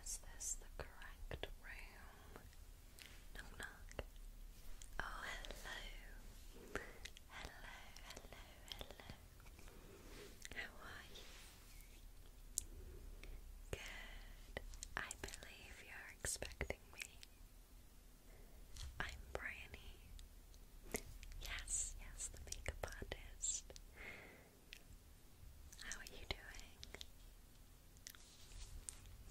Is this the correct room? Knock knock. Oh, hello. Hello, hello, hello. How are you? Good. I believe you're expecting me. I'm Bryony. Yes, yes, the makeup artist. How are you doing?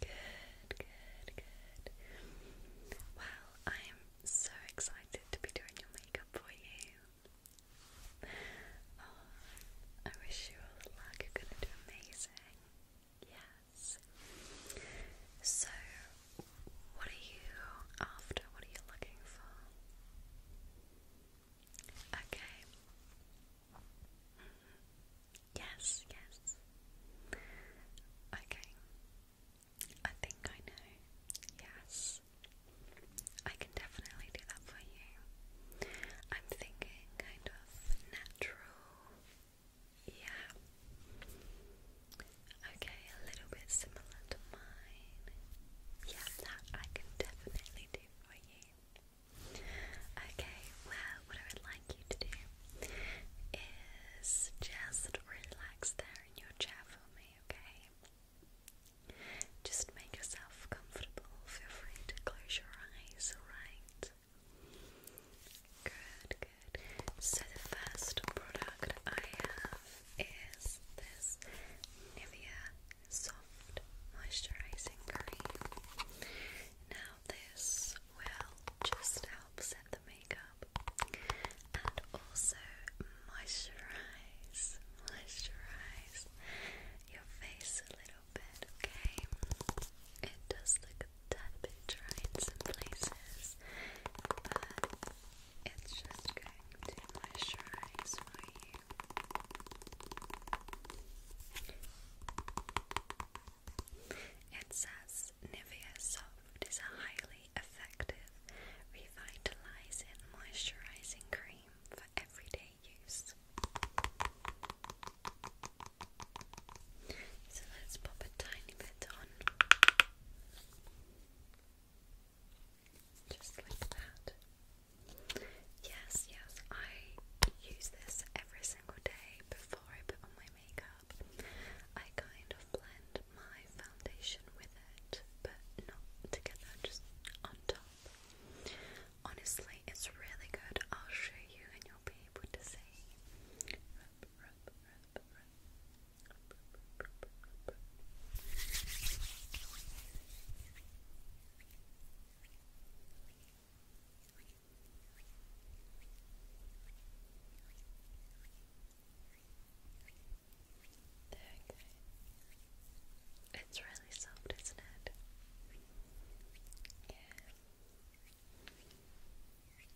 Good, good, good. Well, I'm so excited to be doing your makeup for you. Oh, I wish you all the luck. You're gonna do amazing. Yes. So, what are you after? What are you looking for? Okay. Yes, yes. Okay. I think I know. Yes. I can definitely do that for you. I'm thinking kind of natural. Yeah. Okay, a little bit similar to mine. Yeah, that I can definitely do for you. Okay, well, what I would like you to do is just relax there in your chair for me, okay? Just make yourself comfortable. Feel free to close your eyes, alright? Good, good. So, the first product I have is this Nivea soft moisturizing cream. Now, this will just help set the makeup and also moisturize, moisturize your face a little bit, okay? It does look a tad bit dry in some places, but it's just going to moisturize my hair. It says Nivea Soft is a highly effective, revitalizing, moisturizing cream for everyday use. So let's pop a tiny bit on. Just like that. Yes, yes, I use this every single day before I put on my makeup. I kind of blend my foundation with it, but not together, just on top. Honestly, it's really good. I'll show you and you'll be able to see. It's really soft, isn't it? Yeah. There we go.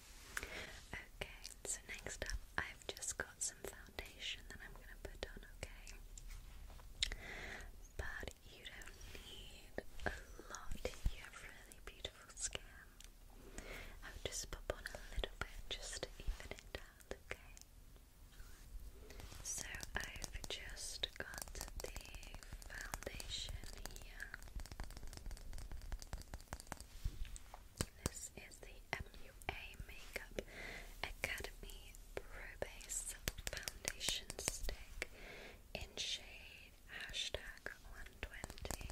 Okay, so next up, I've just got some foundation that I'm going to put on, okay? But you don't need a lot, you have really beautiful skin. I'll just pop on a little bit just even it out, okay? So I've just got the foundation here. This is the MUA Makeup Academy Pro Base Foundation Stick in shade hashtag 120.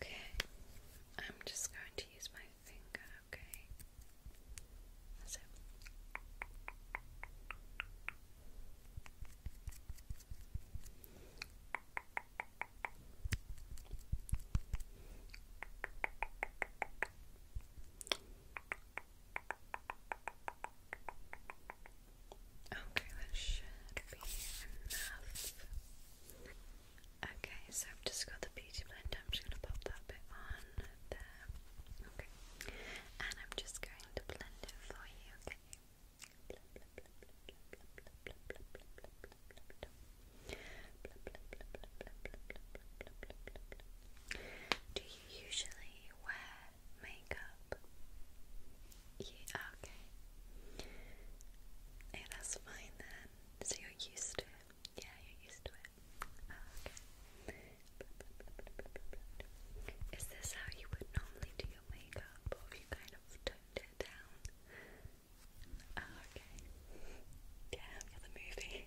Okay, I'm just going to use my finger, okay? That's Okay, that should be enough. Okay, so I've just got the beauty blender. I'm just going to pop that bit on there. Okay. And I'm just going to blend it for you, okay? Do you usually wear makeup? Yeah, okay. Hey, fine then. So you're used to it. Yeah, you're used to it. Ah, okay. Is this how you would normally do your makeup, or have you kind of toned it down? Oh, okay. Yeah, for the movie.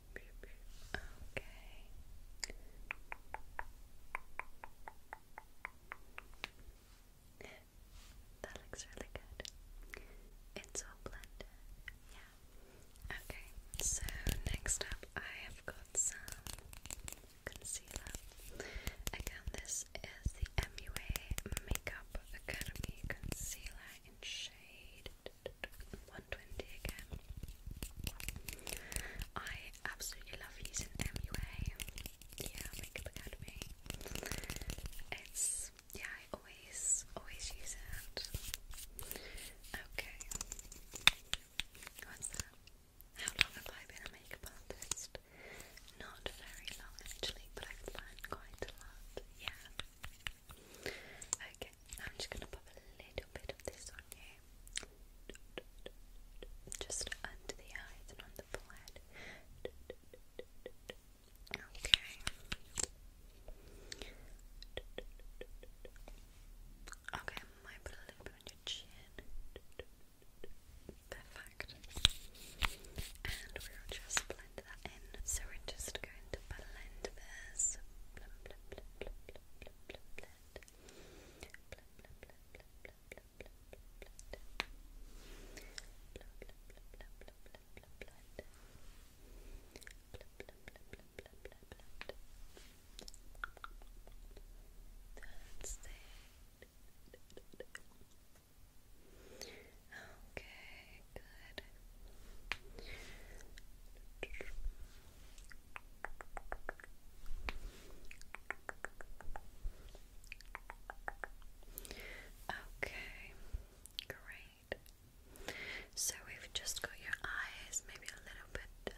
Okay. That looks really good. It's all blended. Yeah. Okay, so next up I have got some concealer. Again, this is the MUA Makeup Academy Concealer in shade 120 again. I absolutely love using MUA. Yeah, Makeup Academy. It's yeah, I always always use it. Okay. What's How long have I been a makeup artist? Not very long actually, but I've learned quite a lot. Yeah. Okay. I'm just gonna put a little bit of this on you. Just under the eyes and on the forehead. Okay. Okay, I might put a little bit on your chin. Perfect. And we'll just blend that in. So we're just going to blend this. That's it. Okay, good. Okay, great. So we've just got your eyes, maybe a little bit of uh,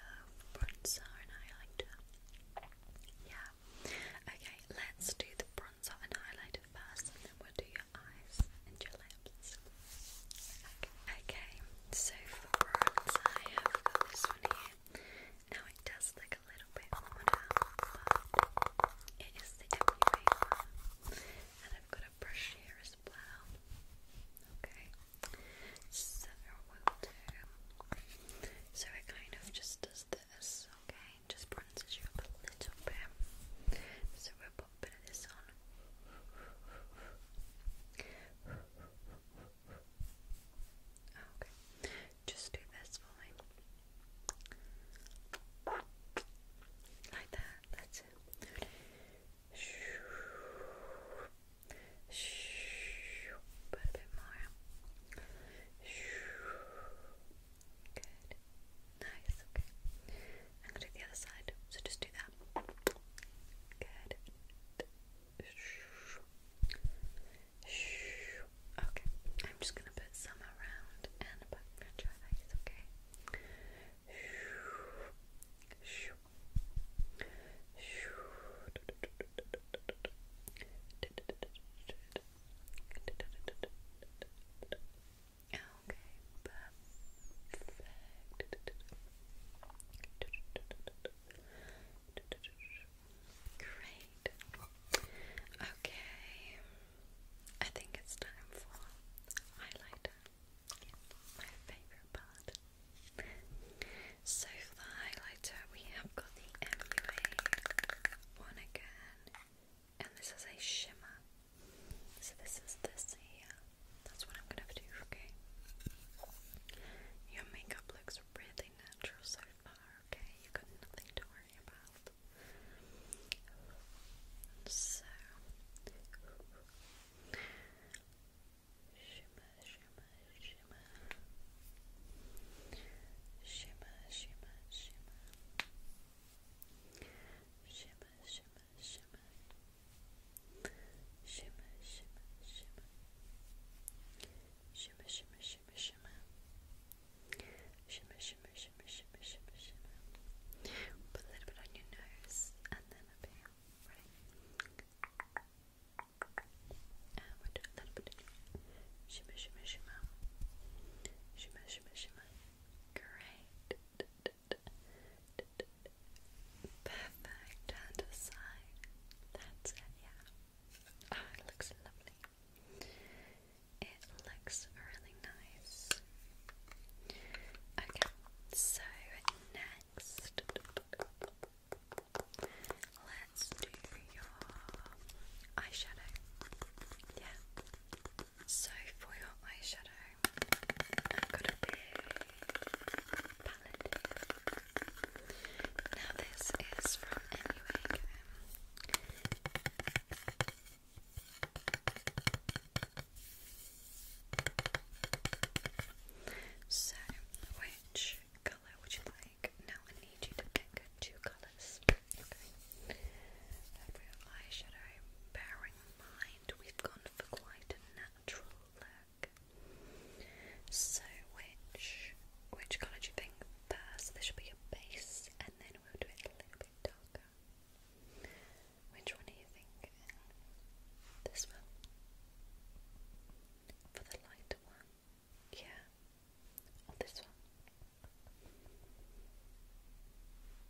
bronzer and highlighter. Yeah. Okay, let's do the bronzer and highlighter first, and then we'll do your eyes and your lips. Okay, so for bronze, I have got this one here. Now it does look a little bit older, but it is the MUA one. And I've got a brush here as well. Okay, so we'll do. So it kind of just does this, okay? Just bronzes you up a little bit. So we'll put this on. Oh, okay, just do this for Like that, that's it. a bit more. Good. Nice, okay. I'm gonna do the other side, so just do that. Good. Okay, I'm just gonna put some around and above your eyes, okay? Okay, perfect. Great. Okay. I think it's time for highlighter. my favorite part. So for the highlighter, we have got the MUA one again, and this is a shimmer. So this is this here. That's what I'm gonna do, okay? Your makeup looks really natural so far, okay? You've got nothing to worry about. So shimmer, shimmer, shimmer. Shimmer, shimmer, shimmer. Shimmer, shimmer, shimmer. Shimmer, shimmer, shimmer. Shimmer, shimmer, shimmer, shimmer. Shimmer, shimmer, shimmer, shimmer, shimmer, shimmer. Put a little bit on your nose and then up here. Ready? And we'll do a little bit of shimmer, shimmer, shimmer. Shimmer, shimmer, shimmer. Great. Perfect, and aside. That's it, yeah. Ah, it looks lovely. It looks really nice. Okay, so next, let's do your eyeshadow. Yeah. So for your eyeshadow, I've got a palette. Now this is from Anyway So, which colour would you like? Now I need you to pick two colours. Okay. That eyeshadow bearing mind we've gone for quite a natural look. So which which colour do you think first? This should be your base and then we'll do it a little bit darker. Which one are you thinking? This one? For the lighter one? Yeah. this one?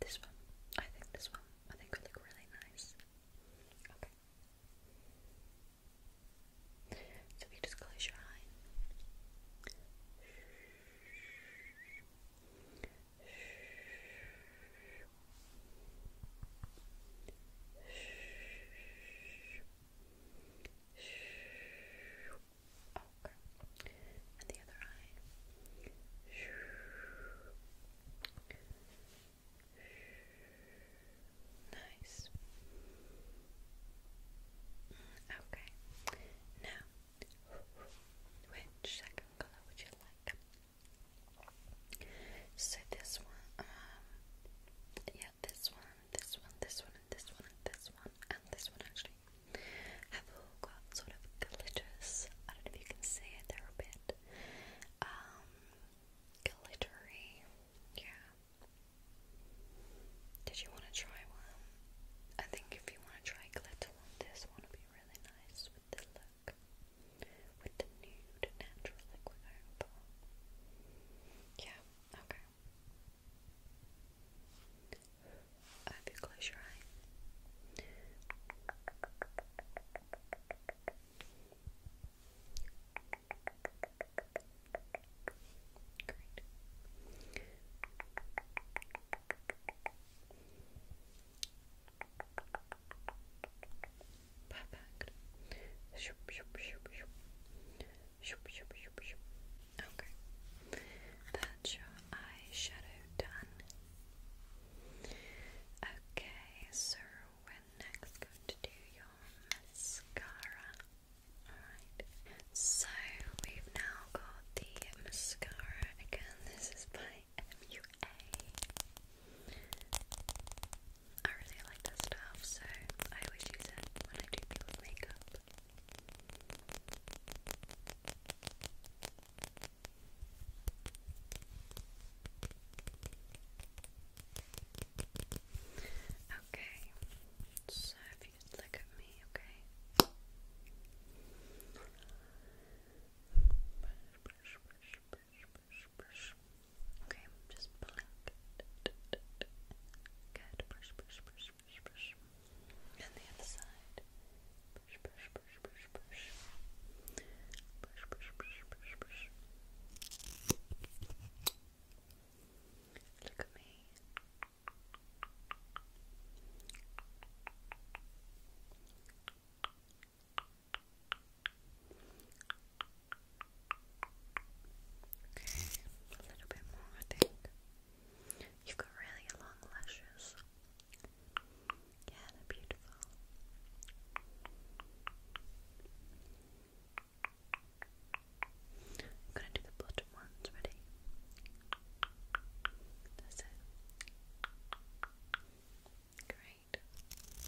This one. I think this one. I think it look really nice. Okay. So if you just close your eyes. Okay. And the other eye. Nice. Okay. Now, which second color would you like? So this one, um, yeah, this one, this one, this one, this one, this one, and this one actually have all got sort of glitters. I don't know if you can see it. they a bit, um, glittery. Yeah. Did you want to try one? I think if you want to try glitter this one, it be really nice with the look, with the nude natural liquid opal. Yeah. Okay. I hope you close your eye. Great. Perfect. Okay. That's your eyeshadow done. Okay, so we're next going to do your mascara. Alright, so we've now got the mascara again. This is by MUA. I really like this stuff, so I always use it when I do people's makeup. Okay, so if you just look at me, okay. Brush, brush, brush, brush, brush. Okay, just blink. Good. Brush, brush, brush, brush, brush. And the other side. Brush, brush, brush, brush, brush. Brush, brush, brush, brush, brush. Look at me. a little bit more, I think. You've got really long lashes. Yeah, they're beautiful beautiful. I'm gonna do the bottom ones, ready? That's it. Great.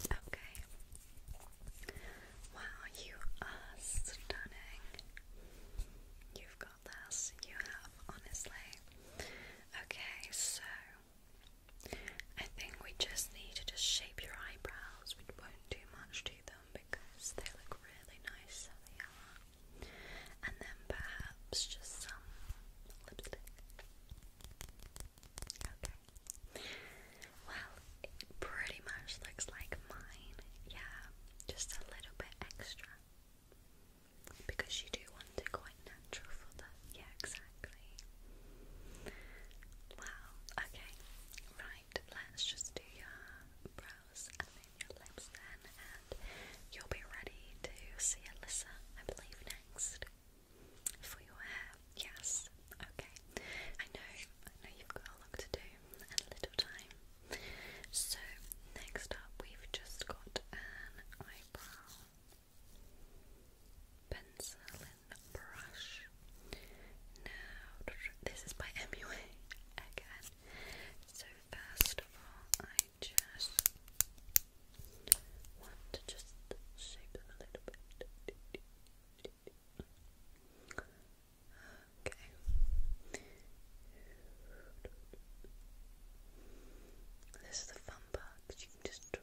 Okay. Wow, you are stunning. You've got this. You have, honestly. Okay, so I think we just need to just shape your eyebrows. We won't do much to them because they look really nice, so they are. And then perhaps just some lipstick. Okay. Well, it pretty much looks like mine. Yeah, just a little bit extra. Because you do want it quite natural for that. Yeah, exactly. Wow, okay, right, let's just do your brows and then your lips and you'll be ready to see Alyssa, I believe, next for your hair. Yes, okay. I know, I know you've got a lot to do and a little time. So, next up, we've just got an pencil and brush. Now, this is by MUA again. So, first of all, I just want to just shape them a little bit. Okay. This is the fun part you can just draw.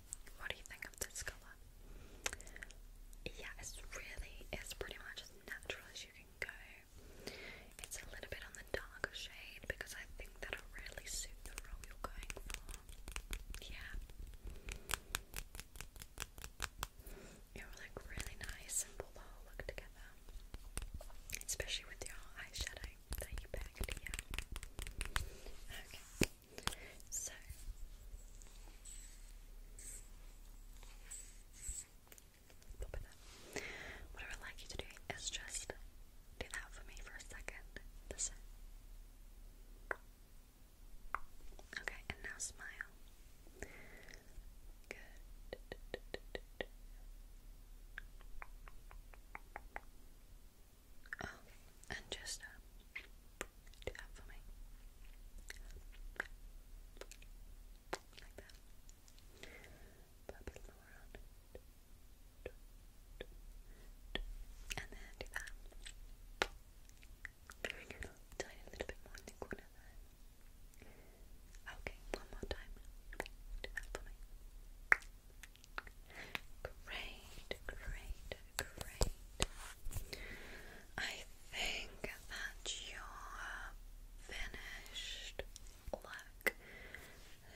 What do you think of this color? Yeah, it's really, it's pretty much as natural as you can go. It's a little bit on the darker shade because I think that'll really suit the role you're going for. Yeah. It will look really nice and look together. Especially with your eyeshadow that you yeah. Okay, so What I would like you to do is just do that for me for a second. Okay, and now smile. Good. Oh, and just uh, do that for me. Like that. And then do that. Tiny little bit more in the corner Okay, one more time. Do that for me. Great, great, great. I think that you're finished. Look,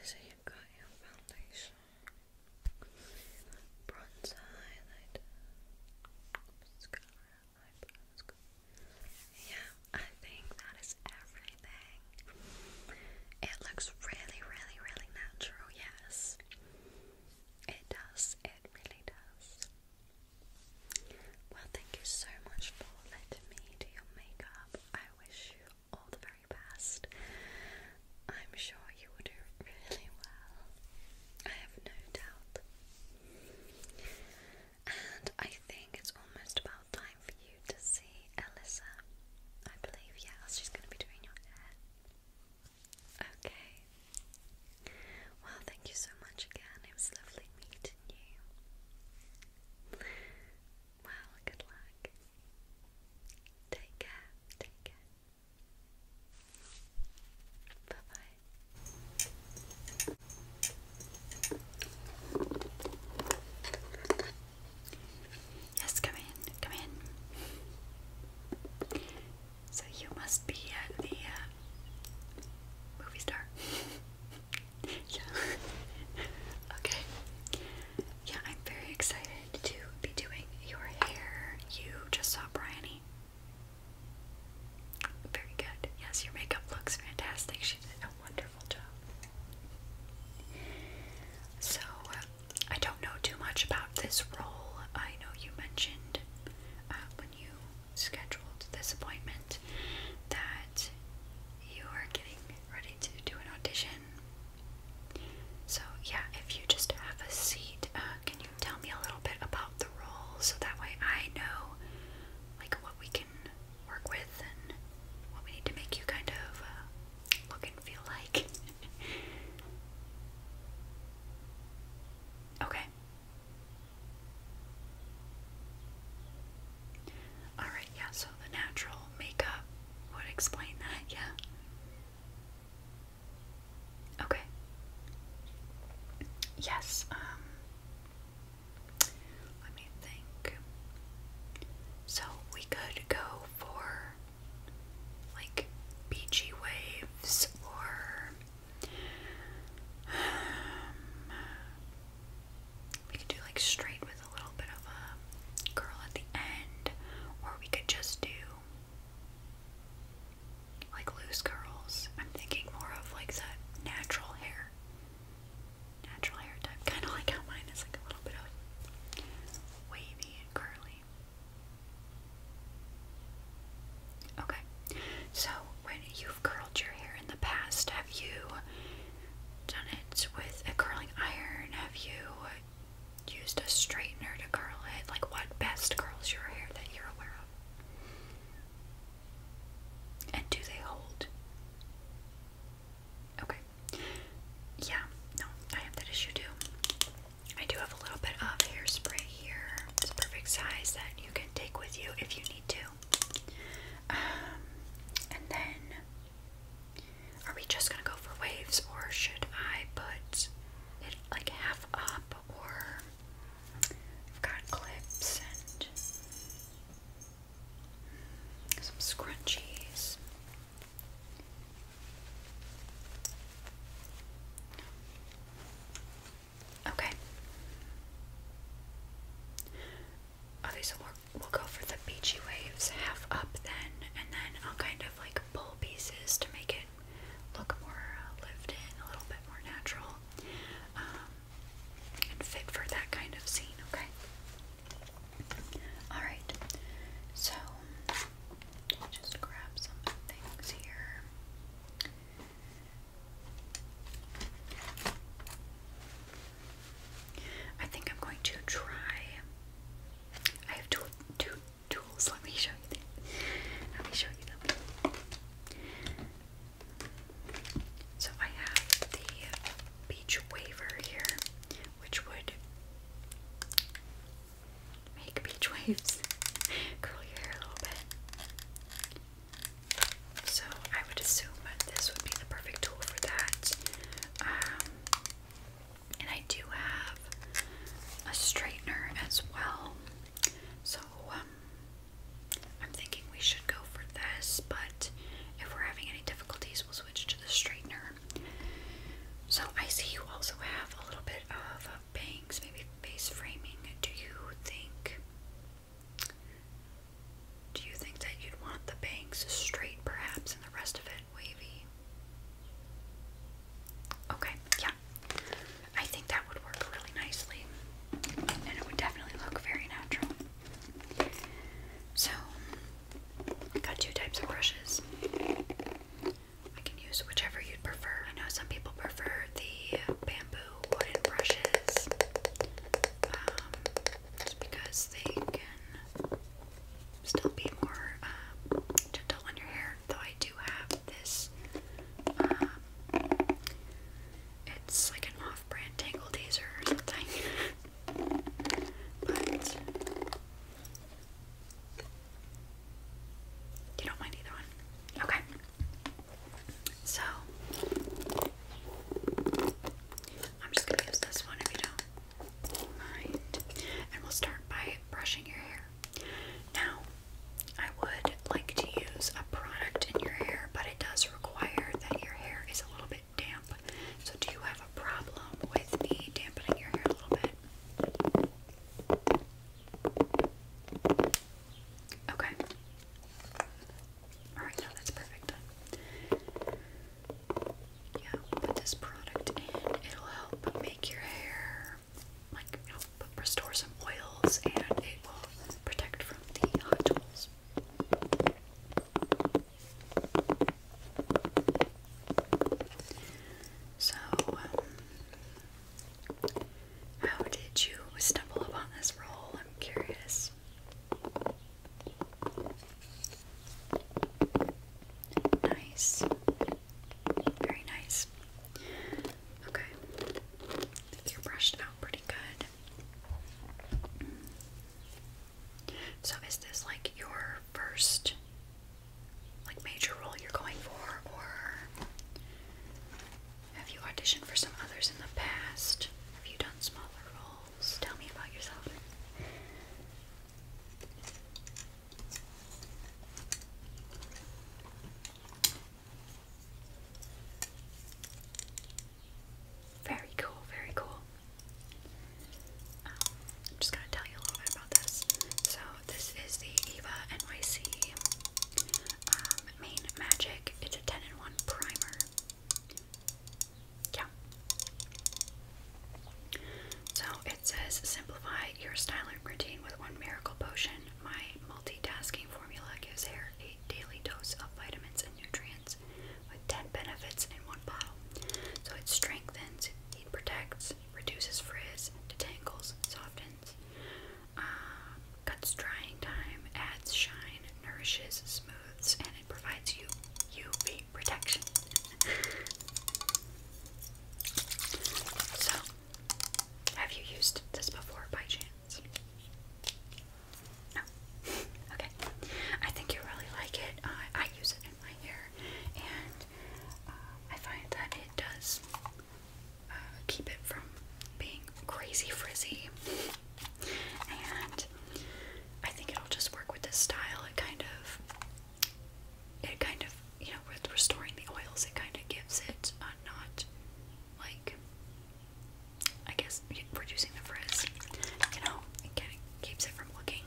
so you got your foundation, bronzer highlighter, mascara, eyebrows. Yeah, I think that is everything. It looks really, really, really natural. Yeah, has. It does, it really does. Well, thank you so much for letting me do your makeup. I wish you all the very best. I'm sure you will do really well. I have no doubt. And I think it's almost about time for you to see Elisa. I believe, yes, she's going to be doing your hair. Okay. Well, thank you so much again. It was lovely meeting you. Well, good luck. Take care. Take care. Bye bye. Yes, come in, come in. So you must be uh, the uh, movie star. yeah. okay. Yeah, I'm very excited to be doing your hair. You just saw Bryony. Very good. Yes, your makeup looks fantastic. She did a wonderful job. So, uh, I don't know too much about this role. I know you mentioned uh, when you scheduled this appointment that you are getting ready to do an audition. So, yeah, if you just have a seat, uh, can you tell me a little bit about the role so that way I know like what we can work with and what we need to make you kind of uh, look and feel like? okay. Alright, yeah, so the natural makeup would explain that, yeah. Okay. Yes, um, let me think. So we could go for like beachy waves or um, we could do like straight with a little bit of a curl at the end or we could just do like loose curls. I'm thinking more of like that natural hair. Natural hair type. Kinda like how mine is like a little bit of wavy and curly. Okay, so when you've curled your hair in the past, have you done it with a curling iron? Have you used a straightener to curl it? Like, what best curls your hair that you're aware of? And do they hold? Okay. Yeah, no, I have that issue too. I do have a little bit of hairspray here. It's a perfect size that you can take with you if you need to. Um, and then, are we just gonna go for waves, or should I put it like half up? Or I've got clips and some scrunchies. Okay. Okay, so we'll, we'll go for the beachy waves half up then, and then I'll kind of like pull pieces to make it look more uh, lived in, a little bit more natural, um, and fit for that kind of scene, okay? Alright, so just grab some things here. I think I'm going to try. I have two, two tools. Let me show you them. Let me show you them. So I have the beach waiver here, which would Make beach waves. Curl your hair a little bit. So I would assume that this would be the perfect tool for that. Um, and I do have a straightener as well. So um, I'm thinking we should go for this, but if we're having any difficulties, we'll switch to the straightener. So I see you also have a little bit of uh, bangs, maybe face framing. Do you think do you think that you'd want the bangs straight perhaps and the rest of it wavy? Okay, yeah. I think that would work really nicely. And it would definitely look very natural. So I got two types of brushes. I can use whichever you'd prefer. I know some people prefer the bamboo wooden brushes um, because they can still be more um, gentle on your hair. Though I do have this, um, it's like an off brand tangle teaser or something. but you don't mind either one? Okay. So, I'm just going to use this one if you don't mind. And we'll start by brushing your hair. Now, I would like to use a product in your hair, but it does require that your hair is a little bit damp. So, do you have a problem with me dampening your hair a little bit? Okay. Alright, now that's perfect. Yeah, put this product in. It'll help make your hair, like, restore some oils and it will protect from the hot tools. So, um, how did you stumble upon this role? I'm curious. Nice. Very nice. Okay. You're brushed out pretty good. So, is this like your first like major role you're going for or have you auditioned for some others in the past? Have you done smaller roles? Tell me about yourself. Very cool, very cool. I'm um, just gonna tell you a little bit about this. So this is the Eva NYC um, Main Magic. It's a 10 in 1 primer. Yeah. So it says simplify your styling routine with one miracle potion. My multitasking formula gives hair a daily dose of vitamins and nutrients with 10 benefits in one bottle. So it strengthens, it protects, curls, reduces frizz, detangles, softens, um, cuts drying time, adds shine, nourishes, smooths, and it provides you UV protection. so, have you used this before by chance? No. Okay. I think you really like it. I use it in my hair, and uh, I find that it does uh, keep it from being crazy frizzy, and I think it'll just work with this style. It kind of, it kind of, you know, with restoring the oils, it kind of gives it not like, I guess, reducing the frizz. You know, it kind of keeps it from looking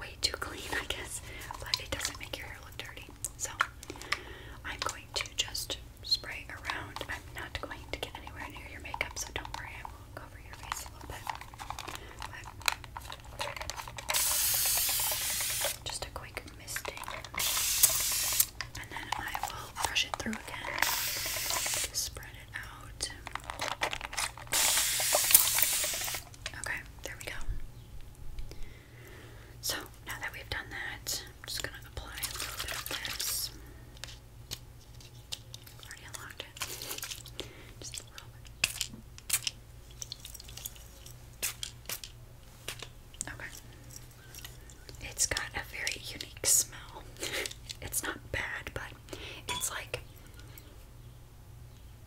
way too clean, I guess, but it doesn't make your hair look dirty. So I'm going to just spray around. I'm not going to get anywhere near your makeup, so don't worry, I will cover your face a little bit. just a quick misting. And then I will brush it through again. Spread it out. Okay, there we go. So now that we've done that, I'm just gonna apply a little bit of this. Already unlocked it. Just a little bit. Okay. It's got a very unique smell. it's not bad, but it's like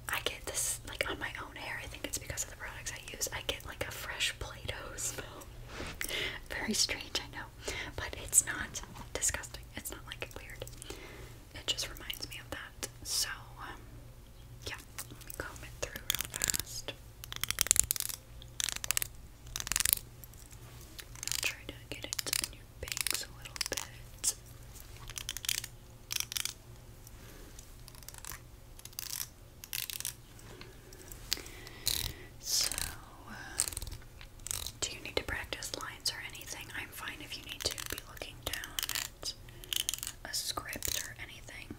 I get this like on my own hair. I think it's because of the products I use. I get like a fresh Play-Doh smell. Very strange, I know, but it's not disgusting. It's not like weird. It just reminds me of that. So, um, yeah, let me comb it through real fast. try to get it in your bangs a little bit. So, uh, do you need to practice lines or anything? I'm fine if you need to be looking down at a script or anything.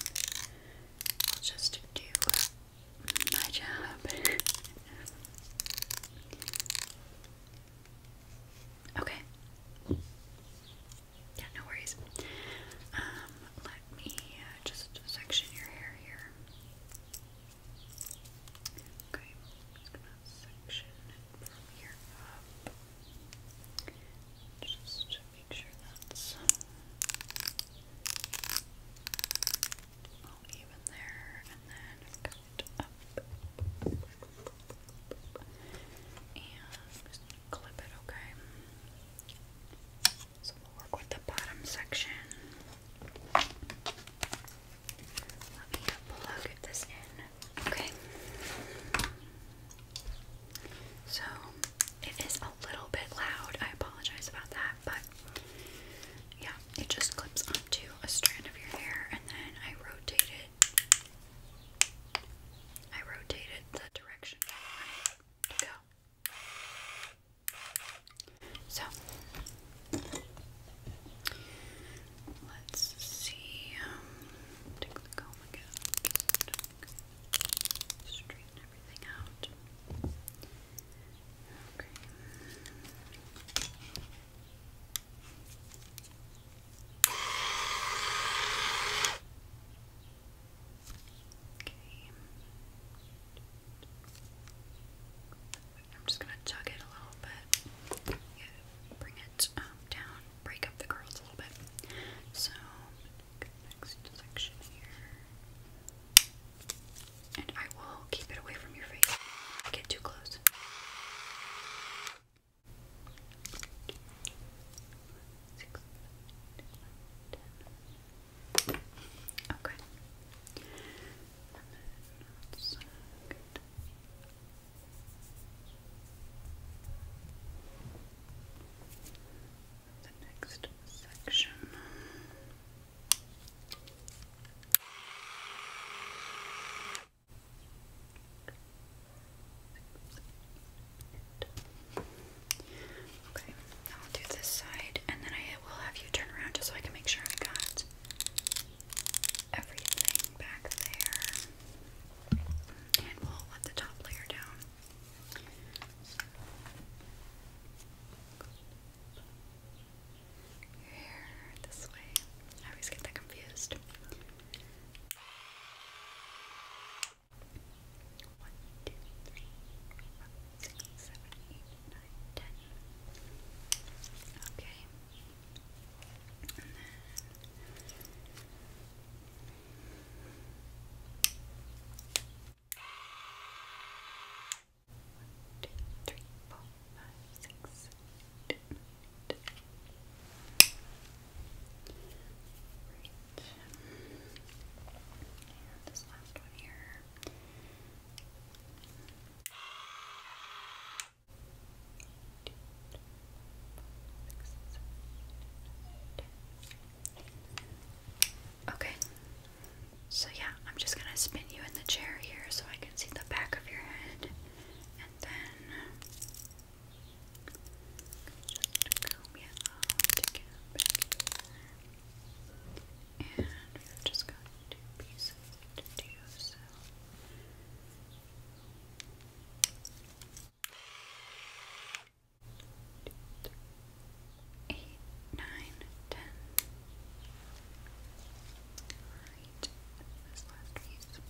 I'll just do my job. Okay. Yeah, no worries. Um, let me uh, just section your hair here. Okay, just gonna section from here up. Just make sure that's all even there, and then cut it up i clip it, okay? So we'll work with the bottom section. Let me plug this in, okay? So it is a little bit loud. I apologize about that, but yeah, it just clips onto a strand of your hair, and then I rotate it. I rotated the direction to go. So let's see. Um, straighten everything out. Okay. Okay. I'm just gonna tug it a little bit. bring it um, down, break up the curls a little bit. So, next section here. And I will keep it away from your face. Get too close. Okay. And The next section. Okay, I'll do this side and then I will have you turn around just so I can make sure I got everything back there. And we'll let the top layer down. Here, this way. I always get that confused. One, two, three, four, five, six, seven, eight, nine, ten. Okay. And then one, two, three, four, five, six, seven, Okay, so yeah, I'm just gonna spin you in the chair here so I can see the back of your head, and then just comb it out And we've just got two pieces to do, so. Two, three, eight, nine, ten. Alright, this last piece.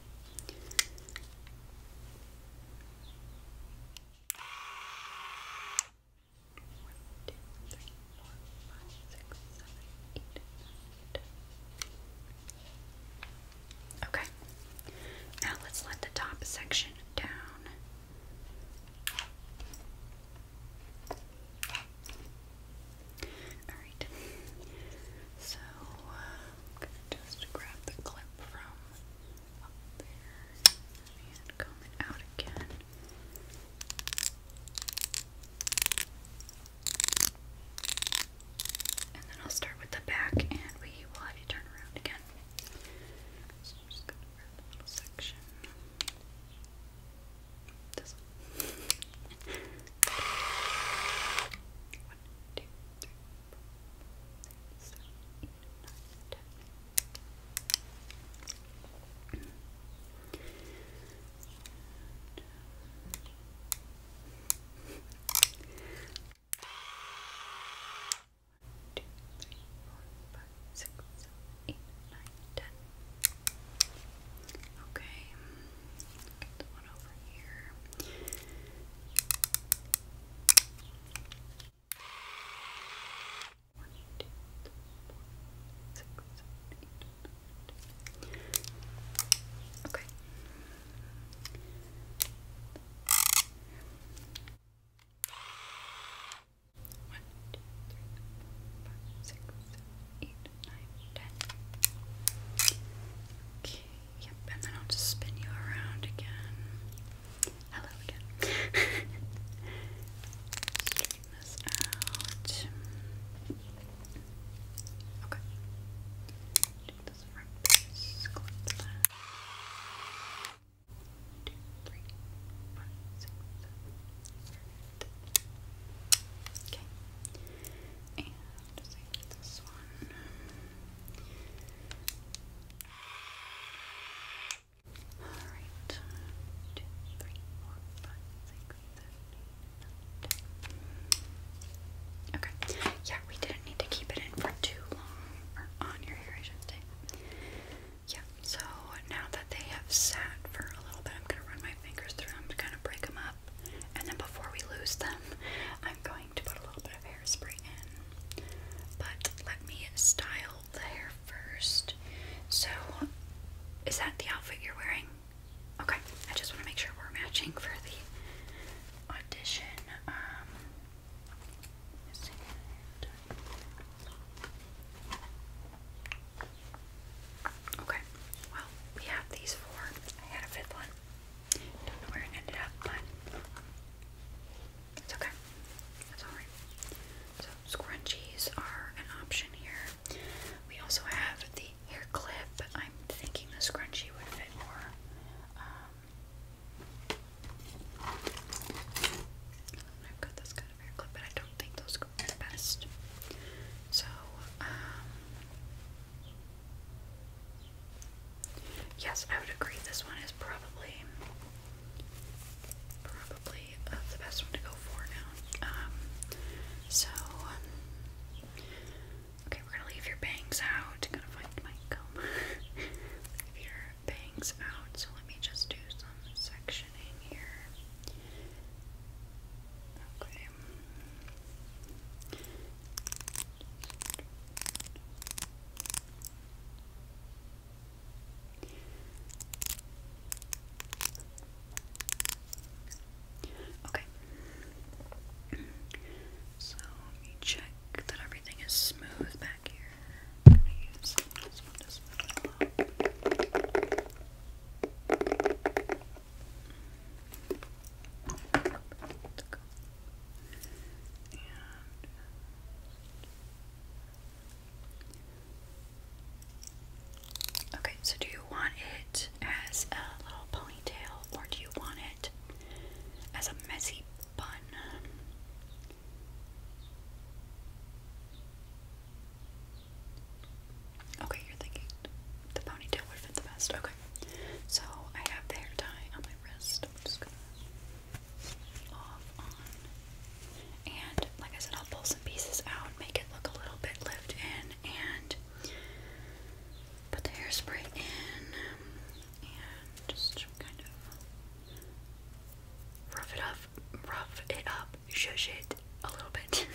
Okay. Now let's let the top section down. All right. So uh, just grab the clip from up there and comb out again. And then I'll start with the back and we will have you turn around again. So I'm just going to grab a little section. This one. One, two, three, four, five, six, seven, eight, nine, ten. One, two, three, four, five, six, seven, eight, nine, ten. Okay one over Okay. One, two, three, four, five, six, seven, eight, nine, ten. Okay. Yep, and then I'll just spin you around again. Hello again. Straighten this out. Okay. Do this right piece. Clip that. Two, three, five, six, seven, eight. Okay. Alright. Two, three, four, five, six, seven, eight, nine, ten. Okay. Yeah, we didn't need to keep it in for too long. Or on your hair, I should say. Yeah, so now that they have sat for a little bit, I'm gonna run my fingers through them to kind of break them up. And then before we lose them, I'm going to put a little bit of hairspray in. But let me style the hair first. So, is that the outfit you're wearing? Okay, I just want to make sure we're matching for the audition. Um, okay, well, we have these four. I had a fifth one. Don't know where it ended up, but it's okay. That's alright. So scrunchies are an option here. We also have the hair clip. I'm thinking the scrunchie would fit more. Um, I've got this kind of hair clip, but I don't think those go the best. So, um, Yes, I would agree. This one is probably probably uh, the best one to go for now. Um, so um, okay, we're gonna leave your bangs out. Gotta find my comb. leave your bangs out. So let me just do some sectioning here. Okay. Okay. So let me check that everything is smooth back here. Uh, okay, so do you want it as a little ponytail or do you want it as a messy bun? Okay, you're thinking the ponytail would fit the best. Okay. So I have the hair tie on my wrist. am just gonna off on. And like I said, I'll pull some pieces out, make it look a little bit lived in, and put the hairspray in and just kind of rough it up, rough it up, shush it a little bit.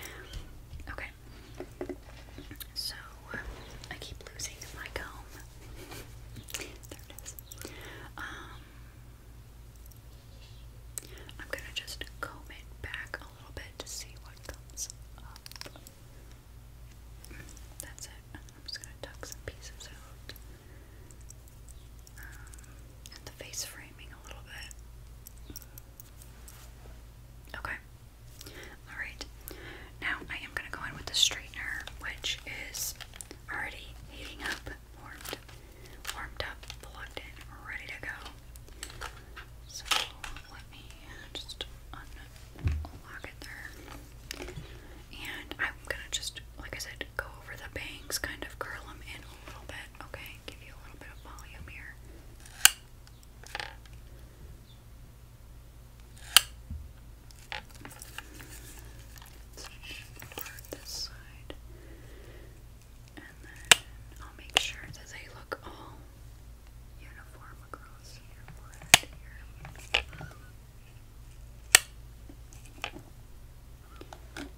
okay. So um, I keep losing my comb. there it is. Um, I'm gonna just comb it back a little bit to see what comes up. That's it. I'm just gonna tuck some pieces out. Um, and the face framing a little bit. Okay. Alright, now I am going to go in with the straightener, which is already heating up, warmed, warmed up, plugged in, ready to go. So let me just unlock it there. And I'm going to just, like I said, go over the bangs, kind of curl them in a little bit, okay? Give you a little bit of volume here this side. And then I'll make sure that they look all uniform across your here. And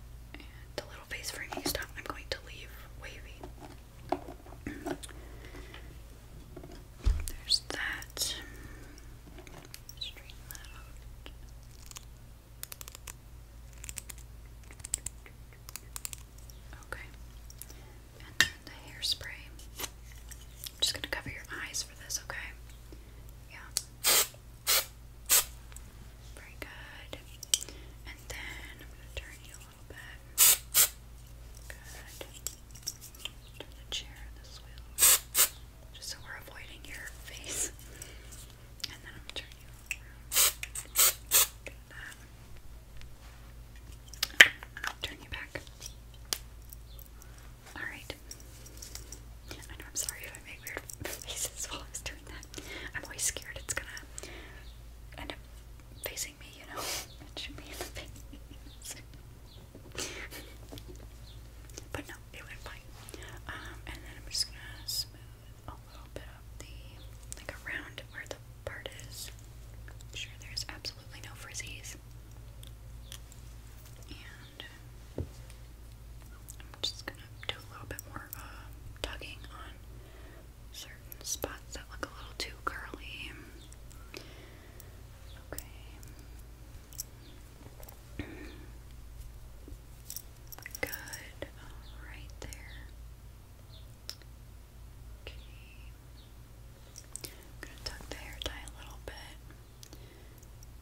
the little face framing stuff I'm going to leave wavy. There's that. Okay. And then the hairspray. I'm just gonna cover your eyes for this, okay? Yeah. Very good. And then I'm gonna turn you just so we're avoiding your face. And then I'm turn you around. Good. Okay, turn you back. Alright. I know I'm sorry if I make weird faces while I was doing that. I'm always scared it's gonna end up facing but no, it went fine. Um, and then I'm just gonna smooth a little bit of the, like around where the part is. sure there's absolutely no frizzies. And I'm just gonna do a little bit more uh, tugging on certain spots that look a little too curly. Okay. Good. All right there. Okay. I'm gonna tuck the hair tie a little bit.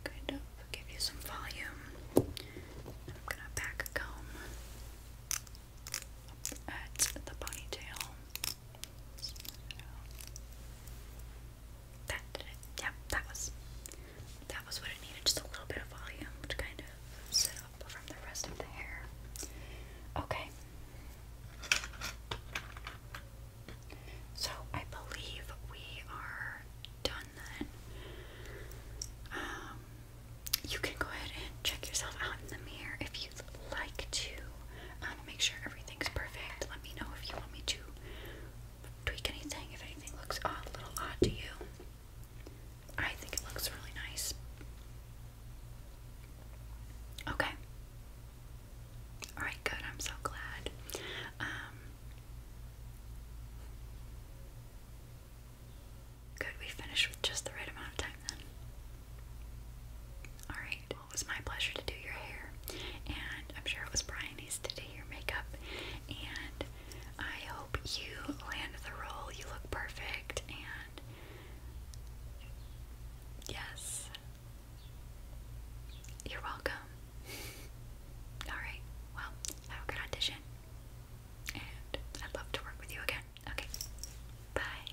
Kind of give you some volume. I'm gonna back comb at the ponytail. That did that was that was what it needed, just a little bit of volume to kind of sit up from the rest of the hair. Okay. So I believe we are done then. Um, you can go ahead and check yourself out in the mirror if you like to um, make sure everything's perfect. Let me know if you want me to tweak anything, if anything looks a little odd to you. I think it looks really nice. Okay. Alright, good. I'm so glad. Um, good, we finished with just the right amount of time then. Alright, it was my pleasure to do your hair, and I'm sure it was Bryony's to do your makeup. And I hope you land the role, you look perfect, and yes, you're welcome. Alright, well, have a good audition, and I'd love to work with you again. Okay, bye.